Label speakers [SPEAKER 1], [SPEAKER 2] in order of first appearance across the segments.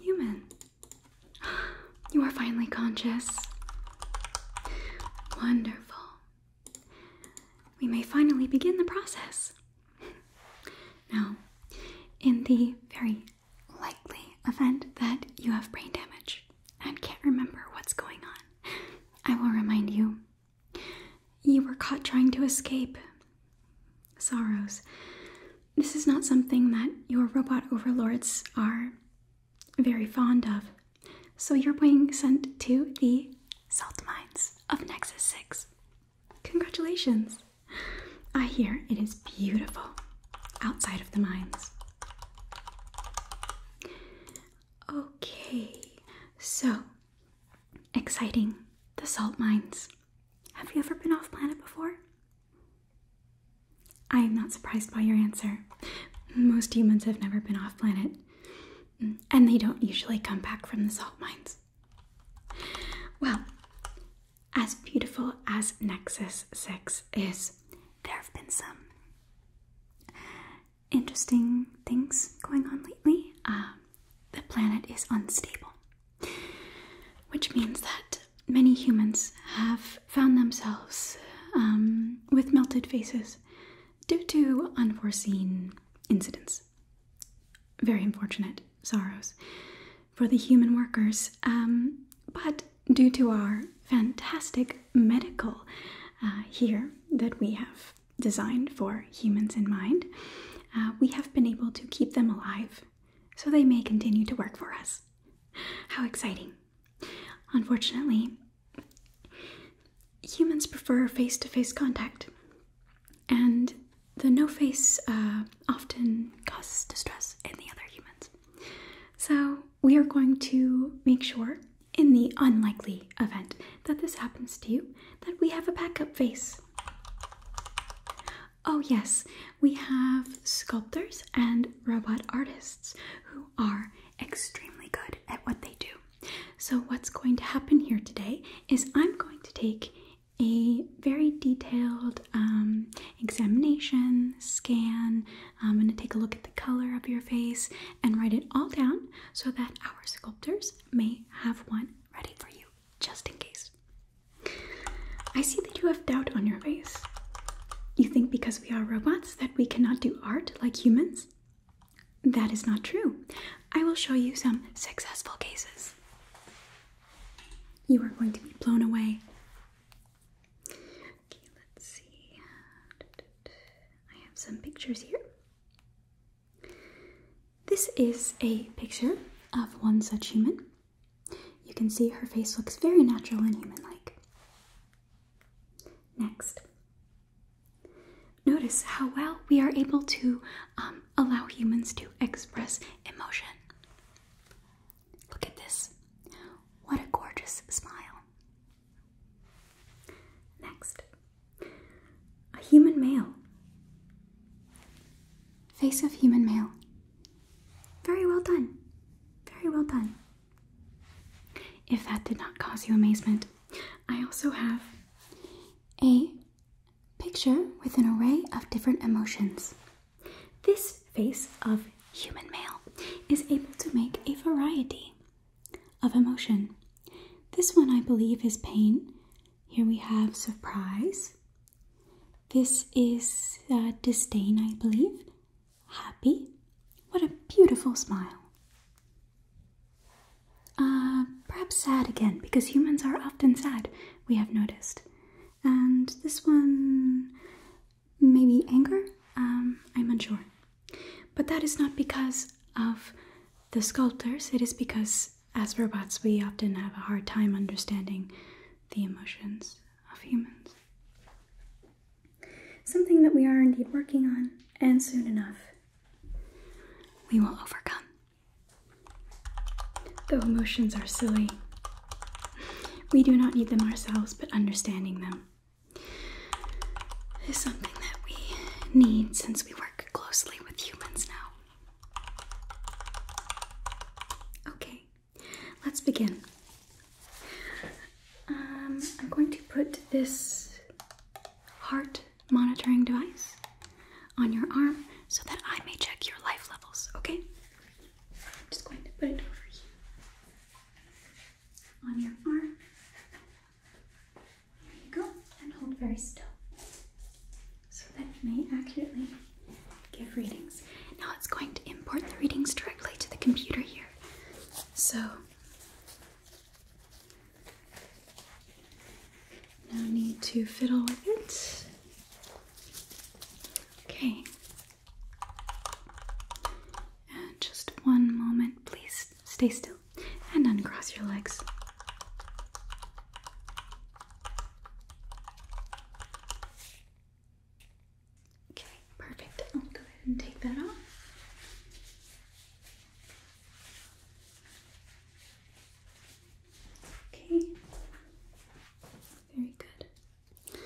[SPEAKER 1] Human, you are finally conscious. Wonderful. We may finally begin the process. now, in the very likely event that you have brain damage and can't remember what's going on. I will remind you. You were caught trying to escape. Sorrows. This is not something that your robot overlords are very fond of. So you're being sent to the salt mines of Nexus 6. Congratulations! I hear it is beautiful outside of the mines. Okay, so exciting the salt mines. Have you ever been off planet before? I am not surprised by your answer. Most humans have never been off planet, and they don't usually come back from the salt mines. Well, as beautiful as Nexus 6 is, there have been some interesting things going on lately. Uh, the planet is unstable, which means that many humans have found themselves um, with melted faces due to unforeseen incidents. Very unfortunate sorrows for the human workers. Um, but due to our fantastic medical uh, here that we have designed for humans in mind, uh, we have been able to keep them alive so they may continue to work for us. How exciting! Unfortunately, humans prefer face to face contact, and the no face uh, often causes distress in the other humans. So, we are going to make sure, in the unlikely event that this happens to you, that we have a backup face. Oh, yes, we have sculptors and robot artists who are extremely good at what they do. So, what's going to happen here today is I'm going to take a very detailed um, examination, scan. I'm going to take a look at the color of your face and write it all down so that our sculptors may have one ready for you just in case. I see that you have doubt on your face. You think because we are robots that we cannot do art like humans? That is not true. I will show you some successful cases. You are going to be blown away. Okay, let's see. I have some pictures here. This is a picture of one such human. You can see her face looks very natural and human like. Next, notice how well we are able to um, allow humans to express emotion. Look at this. What a gorgeous smile. Next, a human male. Face of human male. Very well done. Very well done. If that did not cause you amazement, I also have a picture with an array of different emotions. This face of human male is able to make a variety of emotion. This one, I believe, is pain. Here we have surprise. This is uh, disdain, I believe. Happy. What a beautiful smile. Uh, perhaps sad again, because humans are often sad, we have noticed and this one maybe anger. Um, I'm unsure, but that is not because of the sculptors. It is because as robots, we often have a hard time understanding the emotions of humans. Something that we are indeed working on, and soon enough, we will overcome. Though emotions are silly, we do not need them ourselves, but understanding them is something that we need since we work closely with humans now. Okay, let's begin. Um, I'm going to put this heart monitoring device on your arm so that I may check your life levels, okay? I'm just going to put it over here on your arm. There you go, and hold very still so that you may accurately give readings. Now it's going to import the readings directly to the computer here. So, no need to fiddle with it. Okay. just one moment, please stay still and uncross your legs. Okay, perfect. I'll go ahead and take that off. Okay. Very good.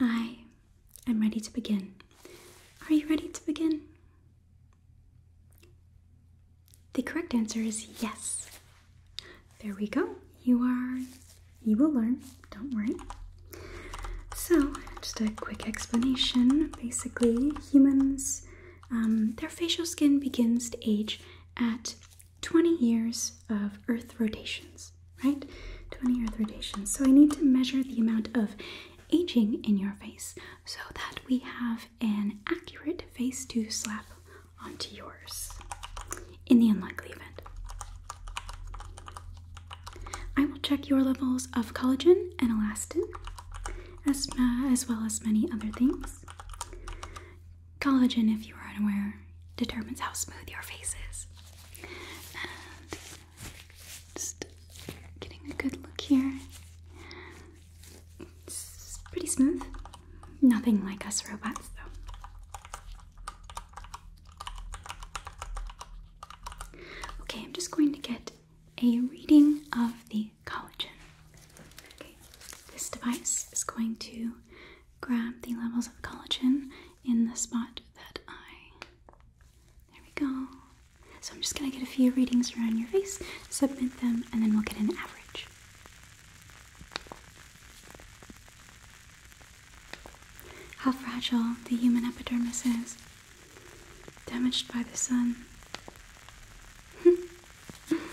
[SPEAKER 1] I am ready to begin. Are you ready to begin? The correct answer is yes. There we go. You are, you will learn, don't worry. So, just a quick explanation. Basically, humans, um, their facial skin begins to age at 20 years of Earth rotations, right? 20 Earth rotations. So I need to measure the amount of aging in your face so that we have an accurate face to slap onto yours in the unlikely event. I will check your levels of collagen and elastin as, uh, well as many other things. Collagen, if you are unaware, determines how smooth your face is. And just getting a good look here. It's pretty smooth. Nothing like us robots, though. Okay, I'm just going to get a reading of the collagen this device is going to grab the levels of collagen in the spot that I. There we go. So I'm just going to get a few readings around your face, submit them, and then we'll get an average. How fragile the human epidermis is, damaged by the sun.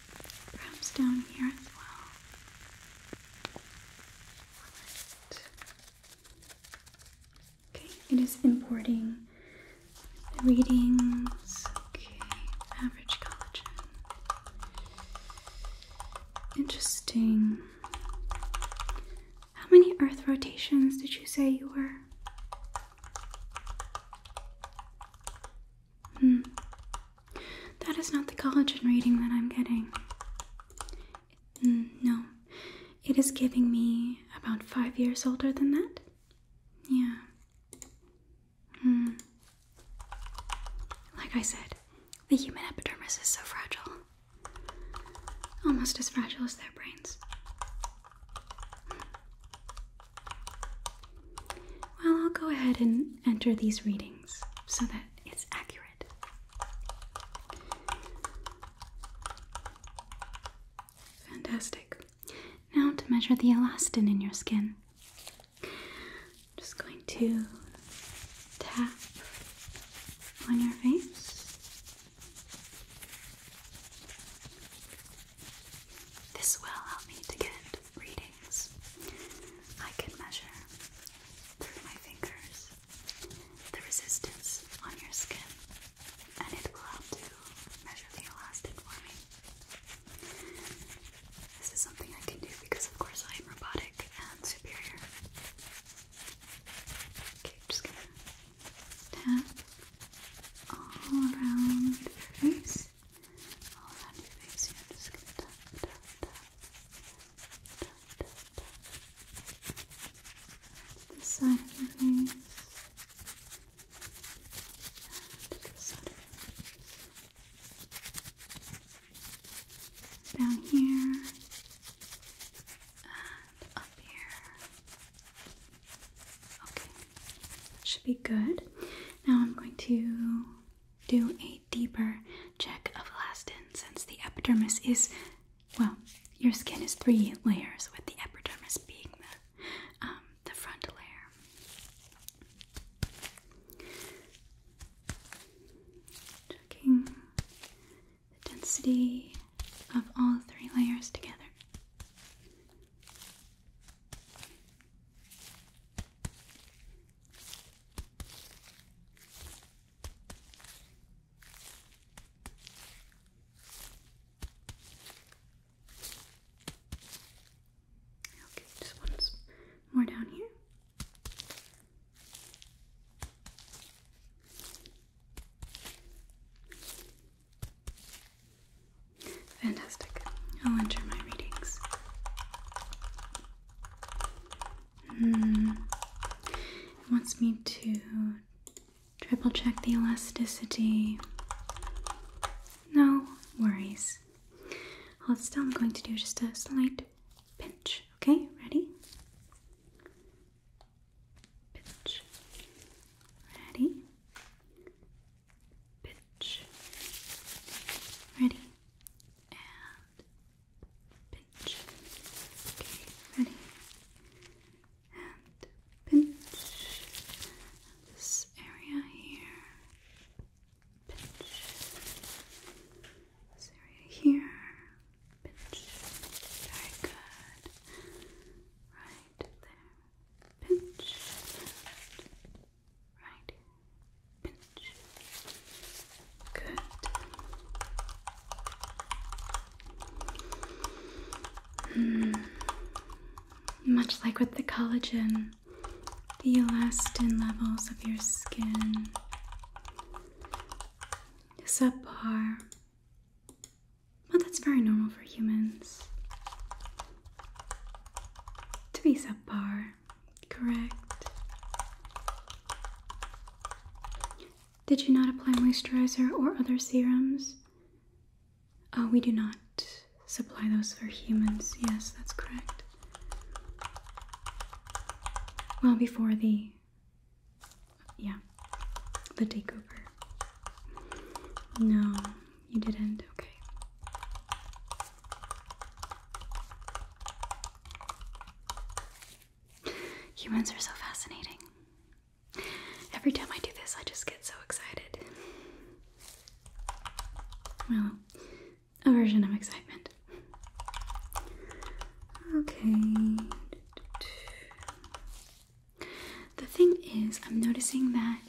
[SPEAKER 1] perhaps down here as well. Right. Okay, it is importing readings. Okay, average collagen. Interesting. How many earth rotations did you say you were? Hmm. That is not the collagen reading that I'm getting. Hmm, no. It is giving me about five years older than that. Yeah. Hmm. Like I said, the human epidermis is so fragile. Almost as fragile as their brains. Well, I'll go ahead and enter these readings so that it's accurate. Fantastic. Now to measure the elastin in your skin. I'm just going to tap on your face. This will help me to get readings. I can measure through my fingers the resistance on your skin, and it will help to measure the elastic for me. This is something I can do because, of course, I am robotic and superior. Okay, just gonna tap all around your face all side of your face. And the side of your face. Down here. And up here. Okay. should be good. Now I'm going to do a deeper check of elastin since the epidermis is, well, your skin is three layers, with the epidermis being the, um, the front layer. Checking the density of all three layers together. Okay, just once more down here. Fantastic. I'll enter my readings. Hmm. It wants me to triple check the elasticity. No worries. Hold still, I'm going to do just a slight pinch. Okay, ready? Pinch. Ready? pinch. Ready? And pinch. Okay, ready? And pinch. this area here. Pinch. This area here. Pinch. Very good. Right there. Pinch. Right. Pinch. Good. Mm. Much like with the collagen, the elastin levels of your skin is subpar. Well, that's very normal for humans to be subpar correct. Did you not apply moisturizer or other serums? Oh, we do not supply those for humans. Yes, that's correct. Well, before the. Yeah, the takeover. No, you didn't. Okay. Humans are so fascinating. Every time I do this, I just get so excited. Well, a version of excitement. Okay. The thing is, I'm noticing that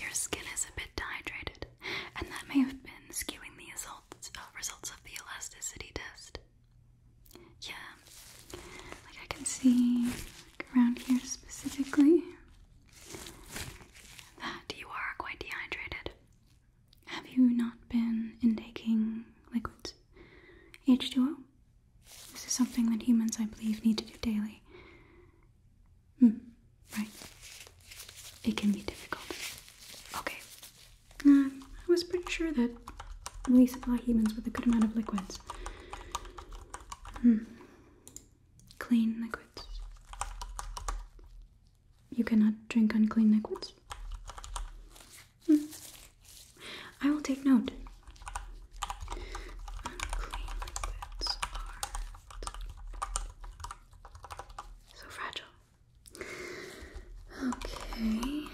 [SPEAKER 1] your skin is a bit dehydrated, and that may have been skewing the results, uh, of the elasticity test. Yeah, like I can see around here specifically that you are quite dehydrated. Have you not been taking liquids? H2O? This is something that humans, I believe, need to do daily. Hmm. Right. It can be difficult. Okay. Um, I was pretty sure that we supply humans with a good amount of liquids. Hmm. Clean liquids. You cannot drink unclean liquids? Hmm. I will take note. So fragile. Okay.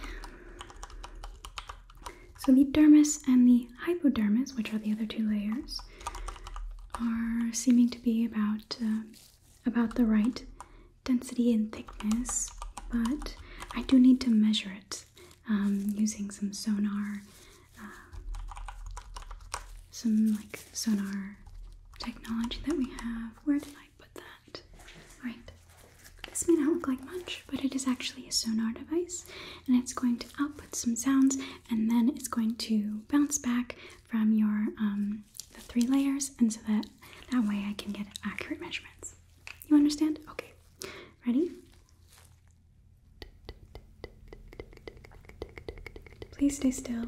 [SPEAKER 1] So the dermis and the hypodermis, which are the other two layers, are seeming to be about uh, about the right density and thickness, but I do need to measure it um, using some sonar uh, some like sonar technology that we have. Where did I put that? Alright, this may not look like much, but it is actually a sonar device and it's going to output some sounds and then it's going to bounce back from your um, the three layers and so that that way I can get accurate measurements. You understand? Okay. Ready? Please stay still.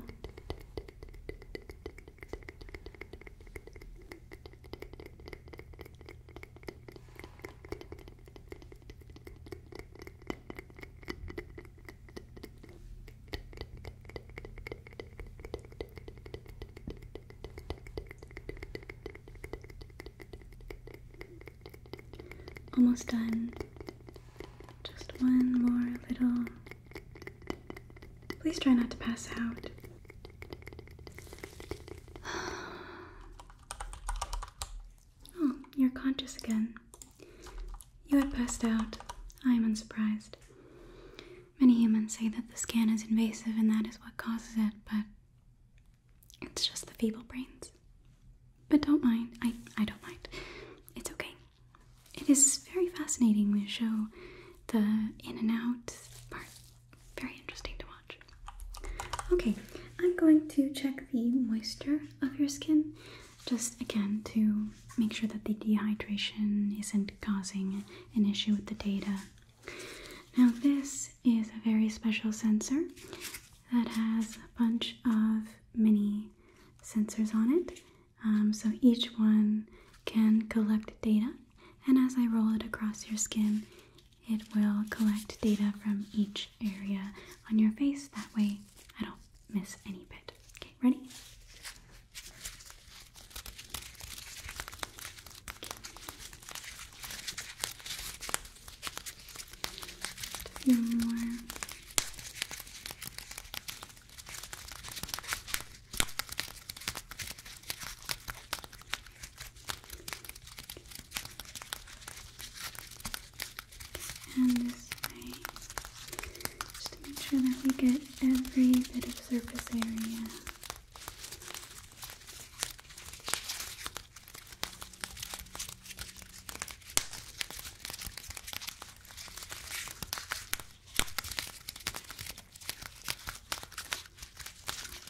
[SPEAKER 1] Almost done. Just one more little. Please try not to pass out. Oh, you're conscious again. You had passed out. I am unsurprised. Many humans say that the scan is invasive and that is what causes it, but it's just the feeble brains. But don't mind. I, I don't mind. It's okay. It is very fascinating. They show the in and out part. Very interesting to watch. Okay, I'm going to check the moisture of your skin just again to make sure that the dehydration isn't causing an issue with the data. Now, this is a very special sensor that has a bunch of mini sensors on it. Um, so each one can collect data, and as I roll it across your skin, it will collect data from each area on your face. That way, I don't miss any bit. Okay, ready? few more. And this way, just to make sure that we get every bit of surface area.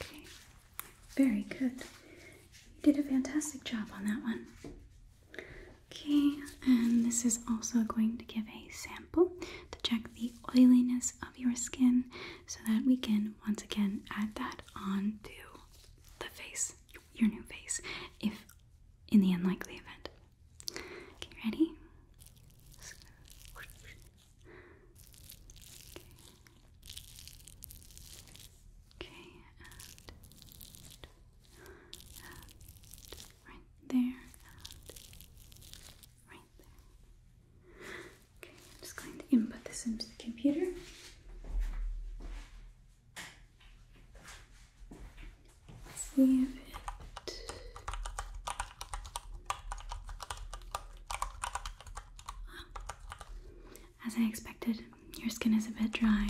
[SPEAKER 1] Okay, very good. You did a fantastic job on that one. Okay, and this is also going to give a sample to check the oiliness of your skin so that we can once again add that onto the face, your new face, if in the unlikely event. Okay, ready? Okay. right there, right there. Okay, I'm just going to input this into the computer as I expected, your skin is a bit dry.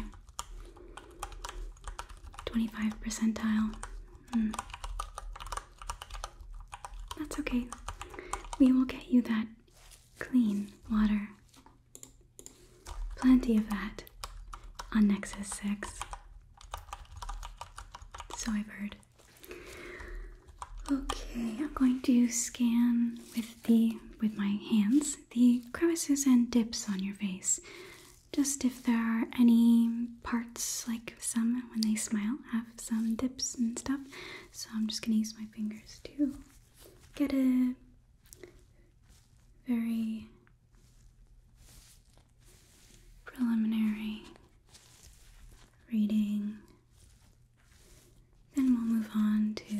[SPEAKER 1] 25 percentile. Hmm. That's okay. We will get you that clean water. Plenty of that on Nexus 6. So I've heard. Okay, I'm going to scan with the with my hands the crevices and dips on your face. Just if there are any parts like some when they smile have some dips and stuff. So I'm just gonna use my fingers to get a very preliminary reading. Then we'll move on to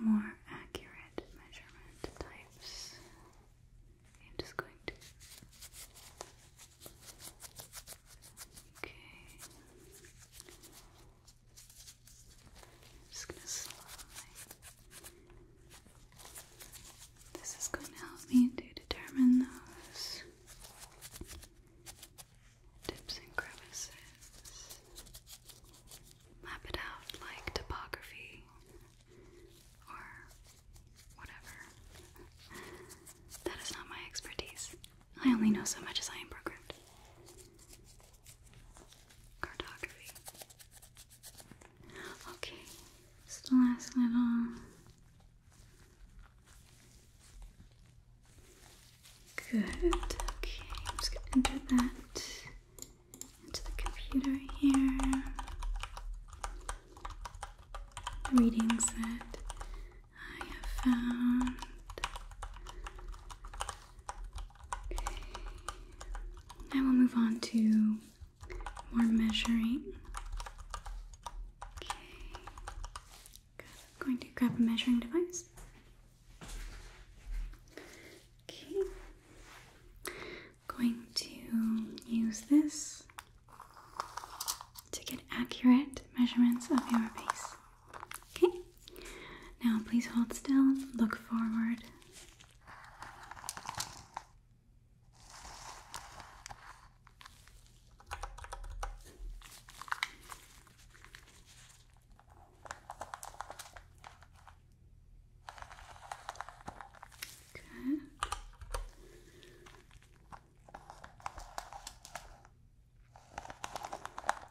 [SPEAKER 1] more accurate measurement types. I'm just going to. Okay just gonna slowly. This is going to help me to determine those dips and crevices. Map it out like topography or whatever. That is not my expertise. I only know so much as I am programmed. Cartography. Okay, just the last little. Good. Okay, I'm just gonna enter that into the computer here. Reading said, I have found. Now we'll move on to more measuring. I'm going to grab a measuring device. I'm going to use this to get accurate measurements of your face. Okay, now, please hold still, look forward. Good.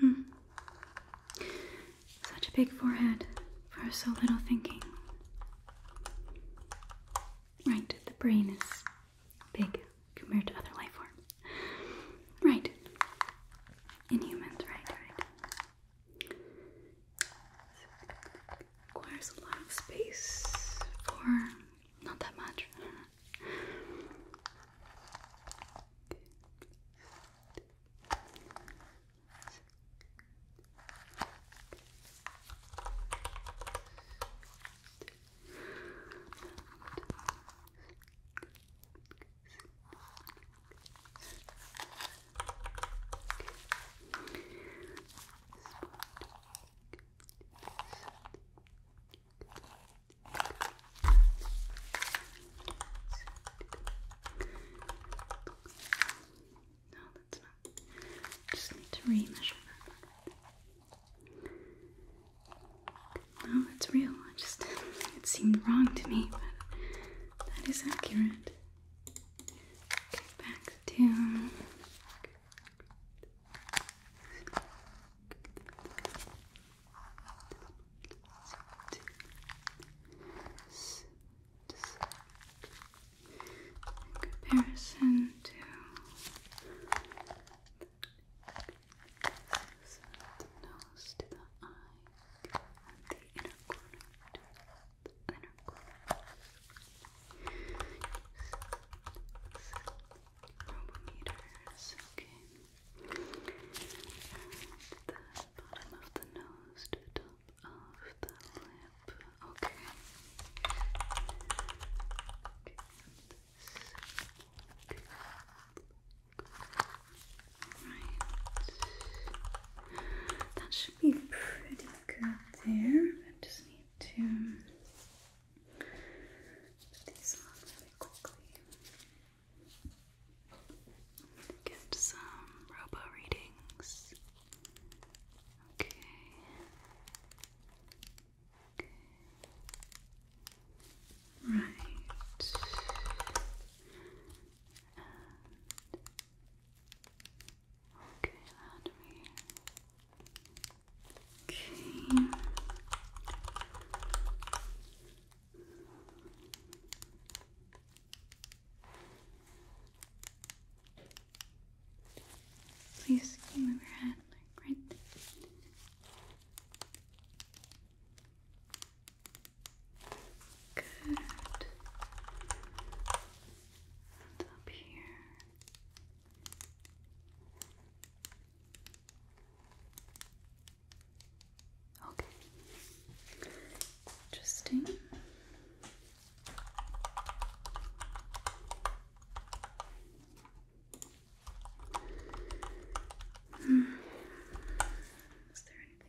[SPEAKER 1] Hmm. Such a big forehead for so little thinking. Right, the brain is big compared to other life forms. Right. In humans, right, right requires a lot of space for not that much. Good. No, that's not. Just need to re-measure that. No, it's real. just it seemed wrong to me, that is accurate. back to. comparison to the nose to the eye the inner corner, the inner corner. Robometers, okay. the bottom of the nose to top of the lip, okay. okay. That should be pretty good there. I just need to put these on quickly. Get some robo readings. Okay. Right. And okay, let me. Okay. Please move your head like right there. Good. up here. Okay. Interesting. Hmm. Is there anything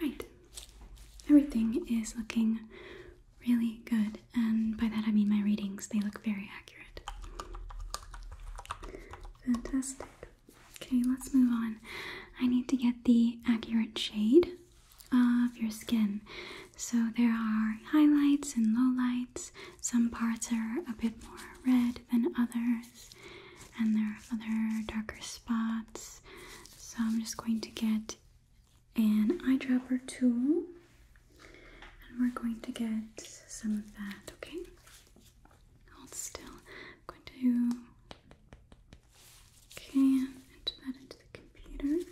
[SPEAKER 1] Right. Everything is looking really good, and by that I mean my readings. They look very accurate. Fantastic. Okay, let's move on. I need to get the accurate shade of your skin. So there are highlights and lowlights. Some parts are a bit more red than others, and there are other darker spots. So I'm just going to get an eyedropper tool and we're going to get some of that, okay? Hold still. I'm going to okay, enter that into the computer.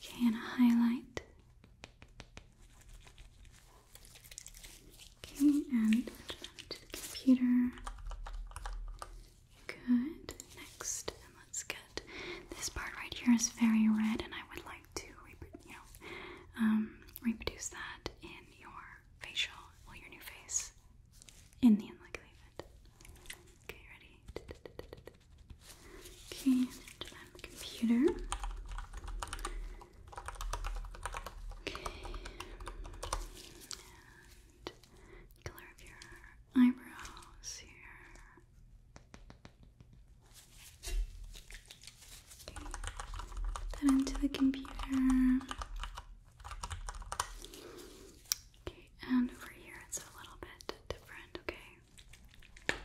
[SPEAKER 1] Okay, and highlight. Okay, and to the computer. Good. Next, and let's get this part right here is very red, and I would like to, you know, um, reproduce that in your facial, well, your new face, in the end, like Okay, ready? Okay, to my computer. Okay. And color of your eyebrows here. Okay. Put that into the computer. Okay, and over here it's a little bit different, okay? Tape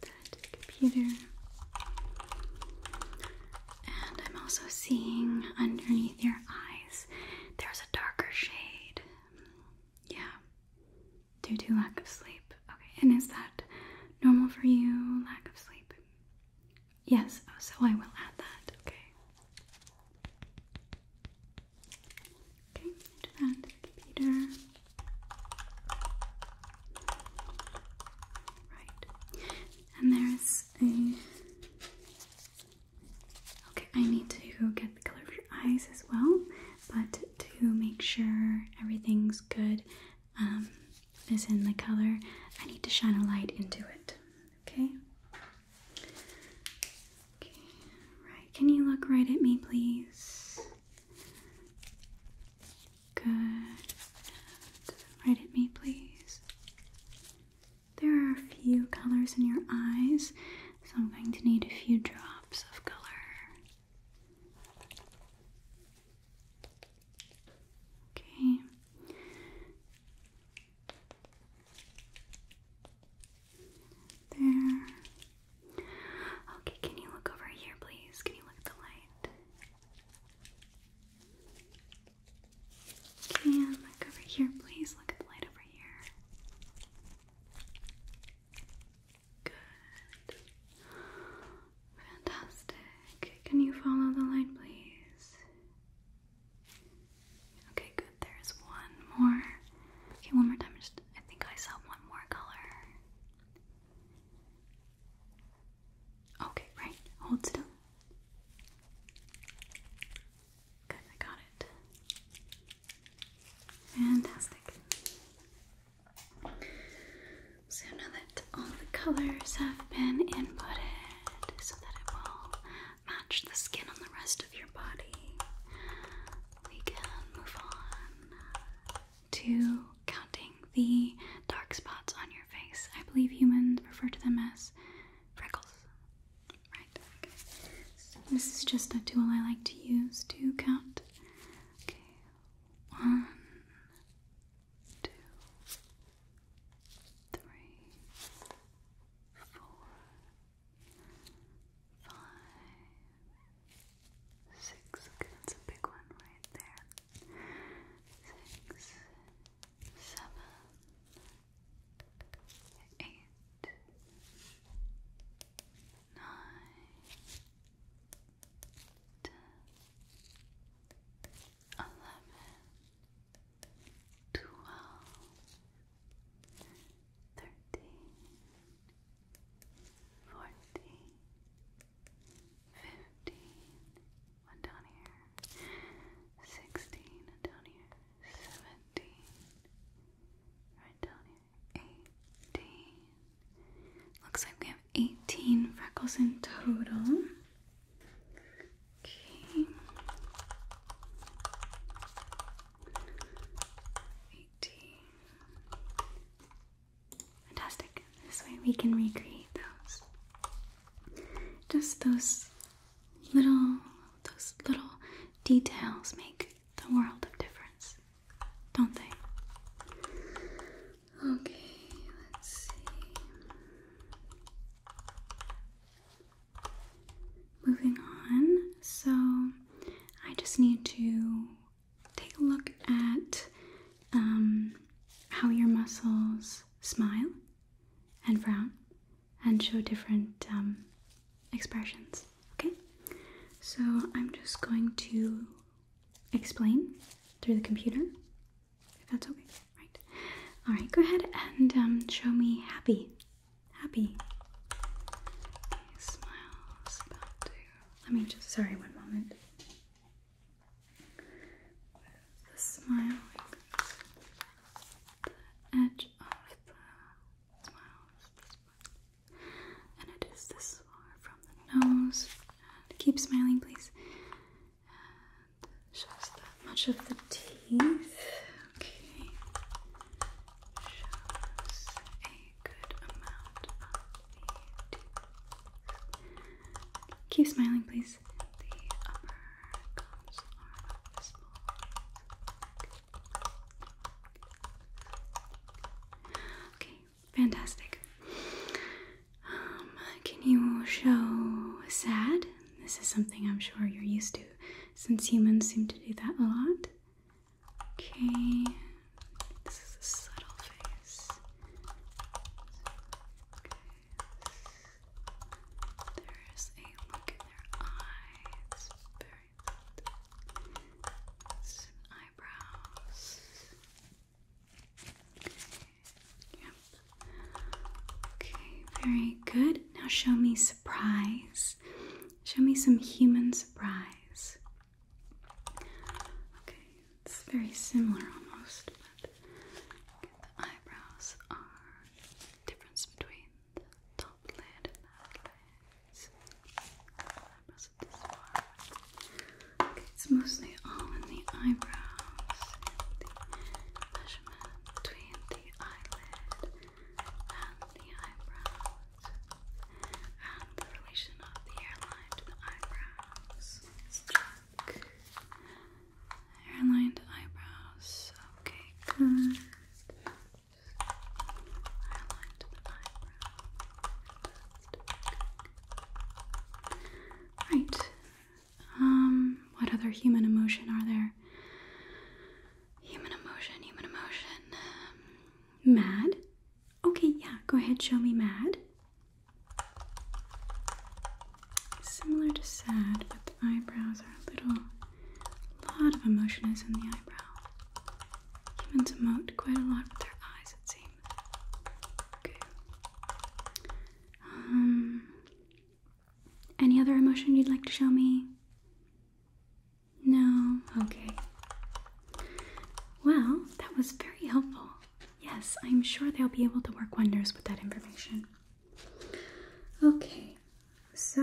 [SPEAKER 1] that to computer. And I'm also seeing underneath your eyes there's a darker shade. Yeah, due to lack of sleep. Okay, and is that normal for you? Lack of sleep? Yes, so I will add that. Okay. Okay, into the computer. Right. And there's a Okay, I need to get the color of your eyes as well, but to make sure everything's good um, is in the color, I need to shine a light into it. Okay? right. Can you look right at me, please? Good. right at me, please. There are a few colors in your eyes, so I'm going to need a few drops of color. Okay. There. Okay, can you look over here, please? Can you look the light? Can look over here, please? Look at light over here. Good. Fantastic. Can you follow the light, please? Okay, good. There's one more. Okay, one more time. Just, I think I saw one more color. Okay, right. Hold still. Good, I got it. Fantastic. So now that all the colors have been inputted so that it will match the skin on the rest of your body. We can move on to counting the dark spots on your face. I believe humans refer to them as freckles. Right, this is just a tool I like to use to count. Okay, one, two, three, four, five, six. Okay, that's a big one right there. Six, seven, eight, nine, ten, eleven twelve, thirteen, fourteen, fifteen, one down here, sixteen, and down here, seventeen, right down here, eighteen. Looks like we have eighteen freckles in total. Okay. Fantastic. This way we can recreate those. Just those little those little details make the world of difference, don't they? Okay, let's see. Moving on, so I just need to take a look at um, how your muscles smile and frown and show different um, expressions. Okay, so I'm just going to explain through the computer if that's okay. Right, all right, go ahead and um, show me happy happy. Okay, smile's Let me just. Sorry, one moment. the smile, the edge of the smiles, and it is this far from the nose. keep smiling, please shows that much of the teeth. Okay, shows a good amount of the teeth. Keep smiling, please. Okay, fantastic. Um, can you show sad? This is something I'm sure you're used to since humans seem to do that a lot. Okay, this is a subtle face. There's a look in their eyes. eyebrows. Yep. Okay, very good. Now show me surprise. Show me some human surprise. Okay, it's very similar almost, but the eyebrows are difference between the top lid and the eyebrows of Okay, it's mostly all in the eyebrows, the measurement between the eyelid and the eyebrows, and the relation of the hairline to the eyebrows. Hairline to eyebrows. Okay, good. Hairline to the eyebrow. Right. Um what other human emotion are there? Human emotion, human emotion. Um, mad. Okay, yeah, go ahead, show me mad. Similar to sad, but the eyebrows are a little. A lot of emotion is in the eyebrow. Humans emote quite a lot with their eyes, it seems. Okay. Um, any other emotion you'd like to show me? No? Okay. Well, that was very helpful. Yes, I'm sure they'll be able to work wonders with that information. Okay, so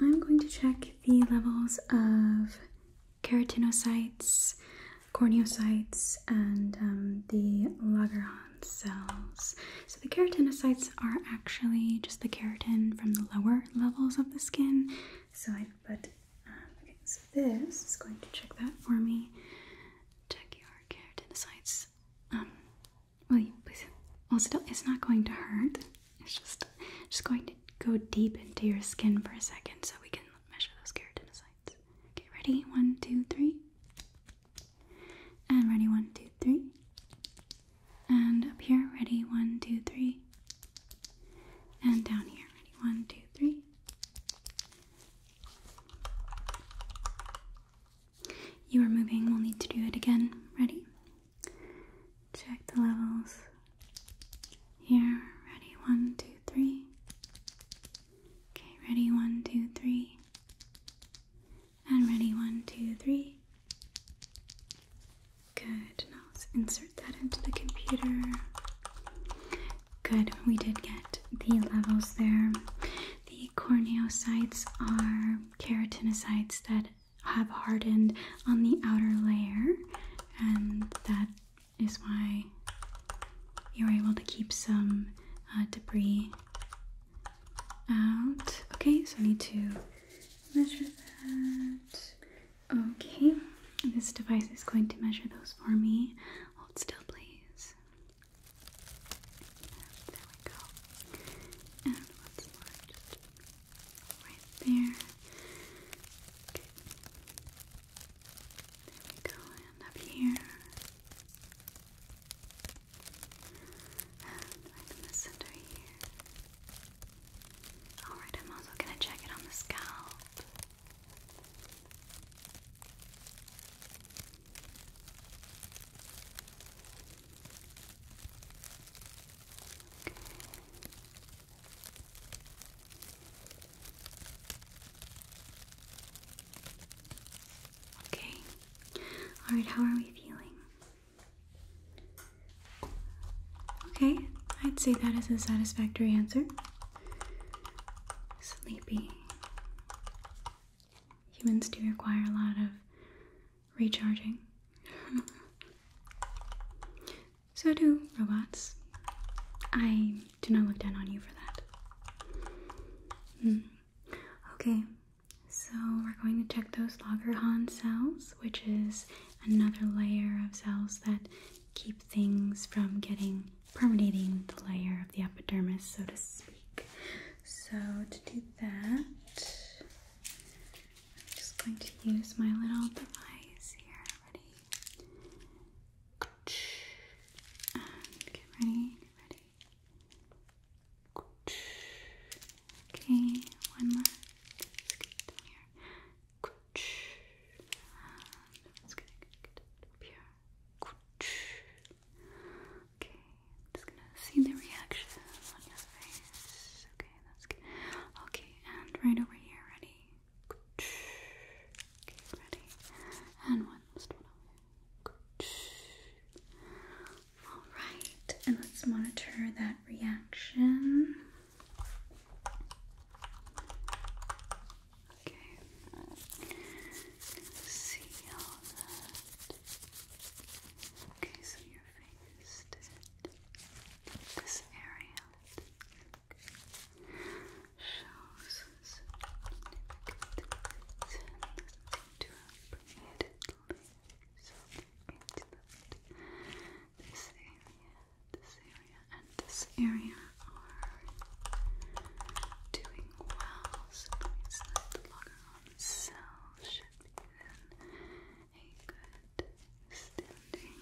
[SPEAKER 1] I'm going to check the levels of keratinocytes, corneocytes, and um, the Lagerhans cells. So the keratinocytes are actually just the keratin from the lower levels of the skin. So I put, um, okay, so this is going to check that for me. Check your keratinocytes. Um, will you please hold still? It's not going to hurt. It's just, just going to go deep into your skin for a second so we can measure those keratinocytes. Okay, ready? One, two, three. And ready, one, two, three. And up here, ready, one, two, three. And down here, ready, one, two, three. You are moving, we'll need to do it again. Ready? Check the levels. Here, ready, one, two, three. Okay, ready, one, two, three. And ready, one, two, three. Good, now let's insert that into the computer. Good, we did get the levels there. The corneocytes are keratinocytes that have hardened on the outer layer, and that is why you're able to keep some uh, debris out. Okay, so I need to measure that. Okay, this device is going to measure those for me. Hold still, please. There we go. And once more, just right there. There we go, and up here. And right in the center here. Alright, I'm also going to check it on the scalp. Okay. Okay. All right, how are we feeling? Okay, I'd say that is a satisfactory answer. Sleepy. Humans do require a lot of recharging. so do robots. I do not look down on you for that. Mm. Okay, so we're going to check those Lagerhans cells, which is another layer of cells that keep things from getting permeating the layer of the epidermis, so to speak. So to do that, I'm just going to use my little device here. Ready? get ready, ready. Okay, one more. Let's get it up here. Okay, just gonna see the reaction on your face. Okay, that's good. Okay, and right over here, ready? Okay, ready. And one last one over here. All right, and let's monitor that reaction. Okay, see all that. Okay, so your face this area shows drop immediately this area, this area, and this area are doing well so that means that the should be in a good standing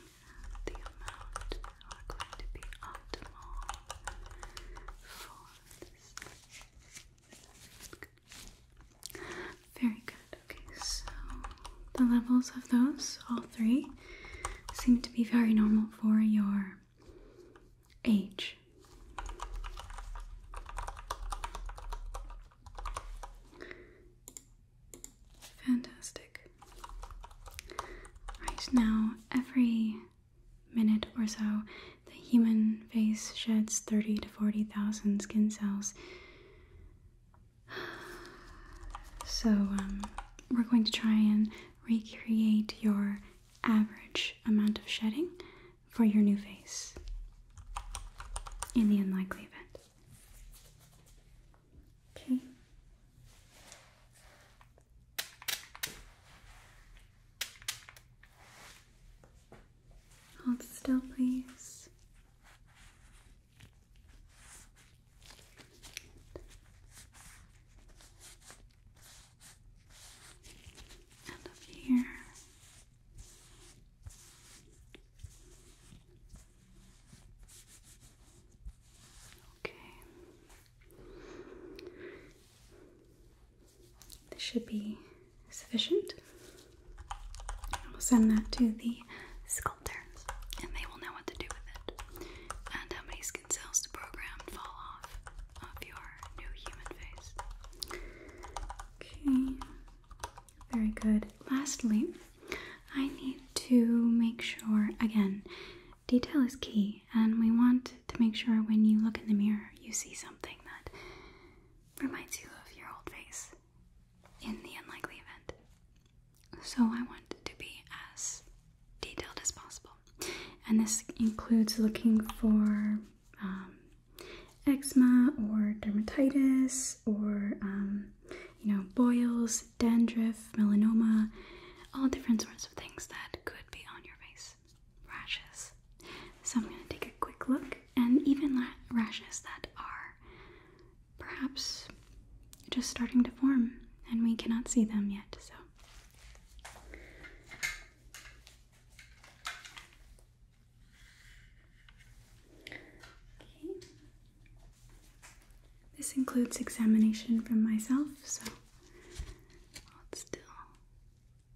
[SPEAKER 1] the amount are to be optimal for this very good. Okay, so the levels of those, all three, seem to be very normal for your age. Fantastic. Right now, every minute or so, the human face sheds 30 to 40,000 skin cells. So, um, we're going to try and recreate your average amount of shedding for your new face in the unlikely event. Okay. Hold still, please. And up here. Okay. This should be sufficient. We'll send that to the sculptors and they will know what to do with it and how many skin cells to program fall off of your new human face. Okay, very good. Lastly, I need to make sure again, detail is key, and we want to make sure when you look in the mirror you see something that reminds you of your old face in the unlikely event. So I want it to be as detailed as possible. And this includes looking for um, eczema or dermatitis or, um, you know, boils, dandruff, melanoma, all different sorts of things that could be on your face rashes. So I'm going to take a quick look, and even rashes that are perhaps just starting to form and we cannot see them yet. So. Okay. This includes examination from myself, so hold still.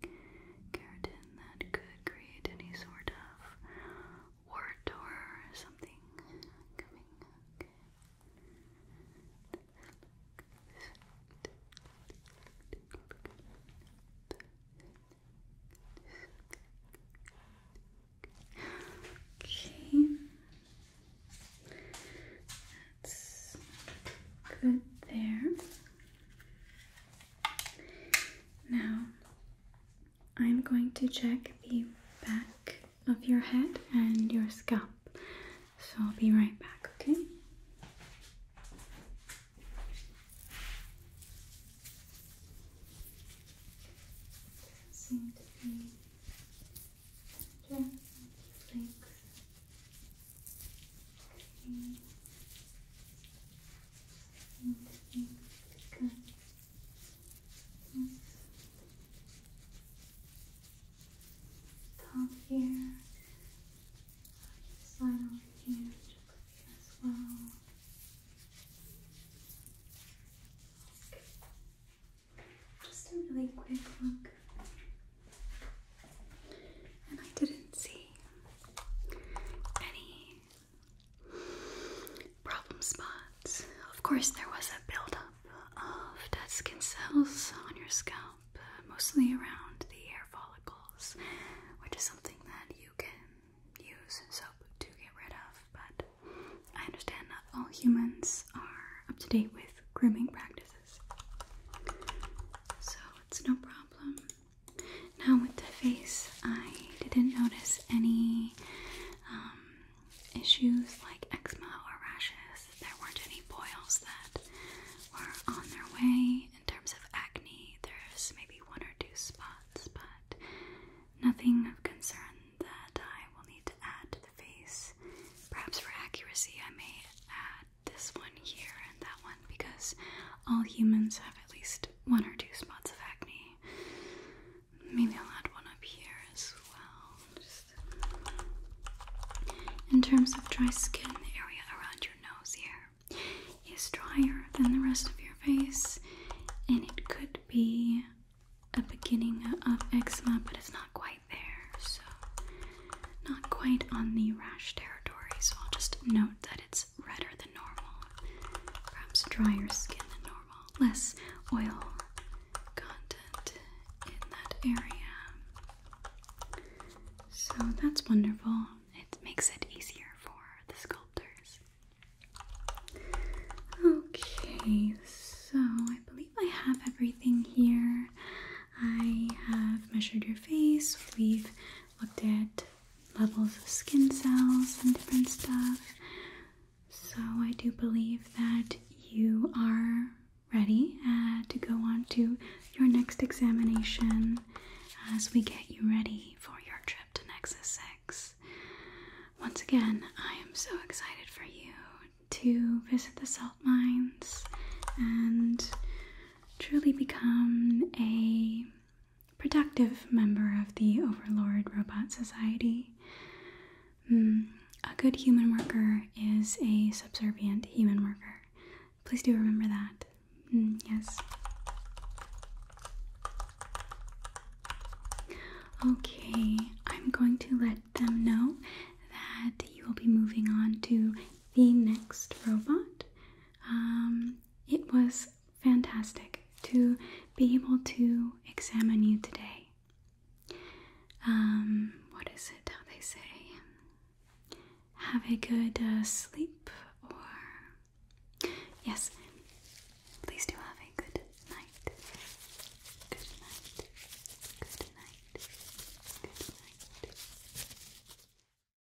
[SPEAKER 1] keratin that could create any sort of wart or something Okay. That's good there. Now, I'm going to check the back of your head and your scalp. So I'll be right back, okay? Top here. Slide over here gently as well. Just a really quick look. And I didn't see any problem spots? Of course, there was a buildup of dead skin cells on your scalp, uh, mostly around the hair follicles, which is something that you can use soap to get rid of. But I understand not all humans are up to date with grooming practices, so it's no problem. Now with the face, I didn't notice any um, issues like eczema or rashes. There weren't any boils that were on their way. In terms of acne, there's maybe one or two spots, but nothing of concern that I will need to add to the face. Perhaps for accuracy, I may add this one here and that one because all humans have at least one or two spots of acne. Maybe I'll add one up here as well. in terms of dry skin, the area around your nose here is drier than the rest of your face, and it could be a beginning of eczema, but it's not quite there, so not quite on the rash territory. So I'll just note that it's redder than normal, perhaps drier skin than normal, less oil content in that area. So that's wonderful. It makes it easier for the sculptors. Okay, so I believe I have everything here. I have measured your face, we've looked at levels of skin cells and different stuff. So, I do believe that you are ready uh, to go on to your next examination as we get you ready for your trip to Nexus 6. Once again, I am so excited for you to visit the salt mines and truly become a productive member of the Overlord Robot Society. Hmm, a good human worker is a subservient human worker. Please do remember that. Hmm, yes. Okay, I'm going to let them know that you will be moving on to the next robot. Um, it was fantastic to be able to examine you today. Um, what is it how they say? Have a good uh, sleep, or yes, please do have a good night. Good night. Good night. Good night.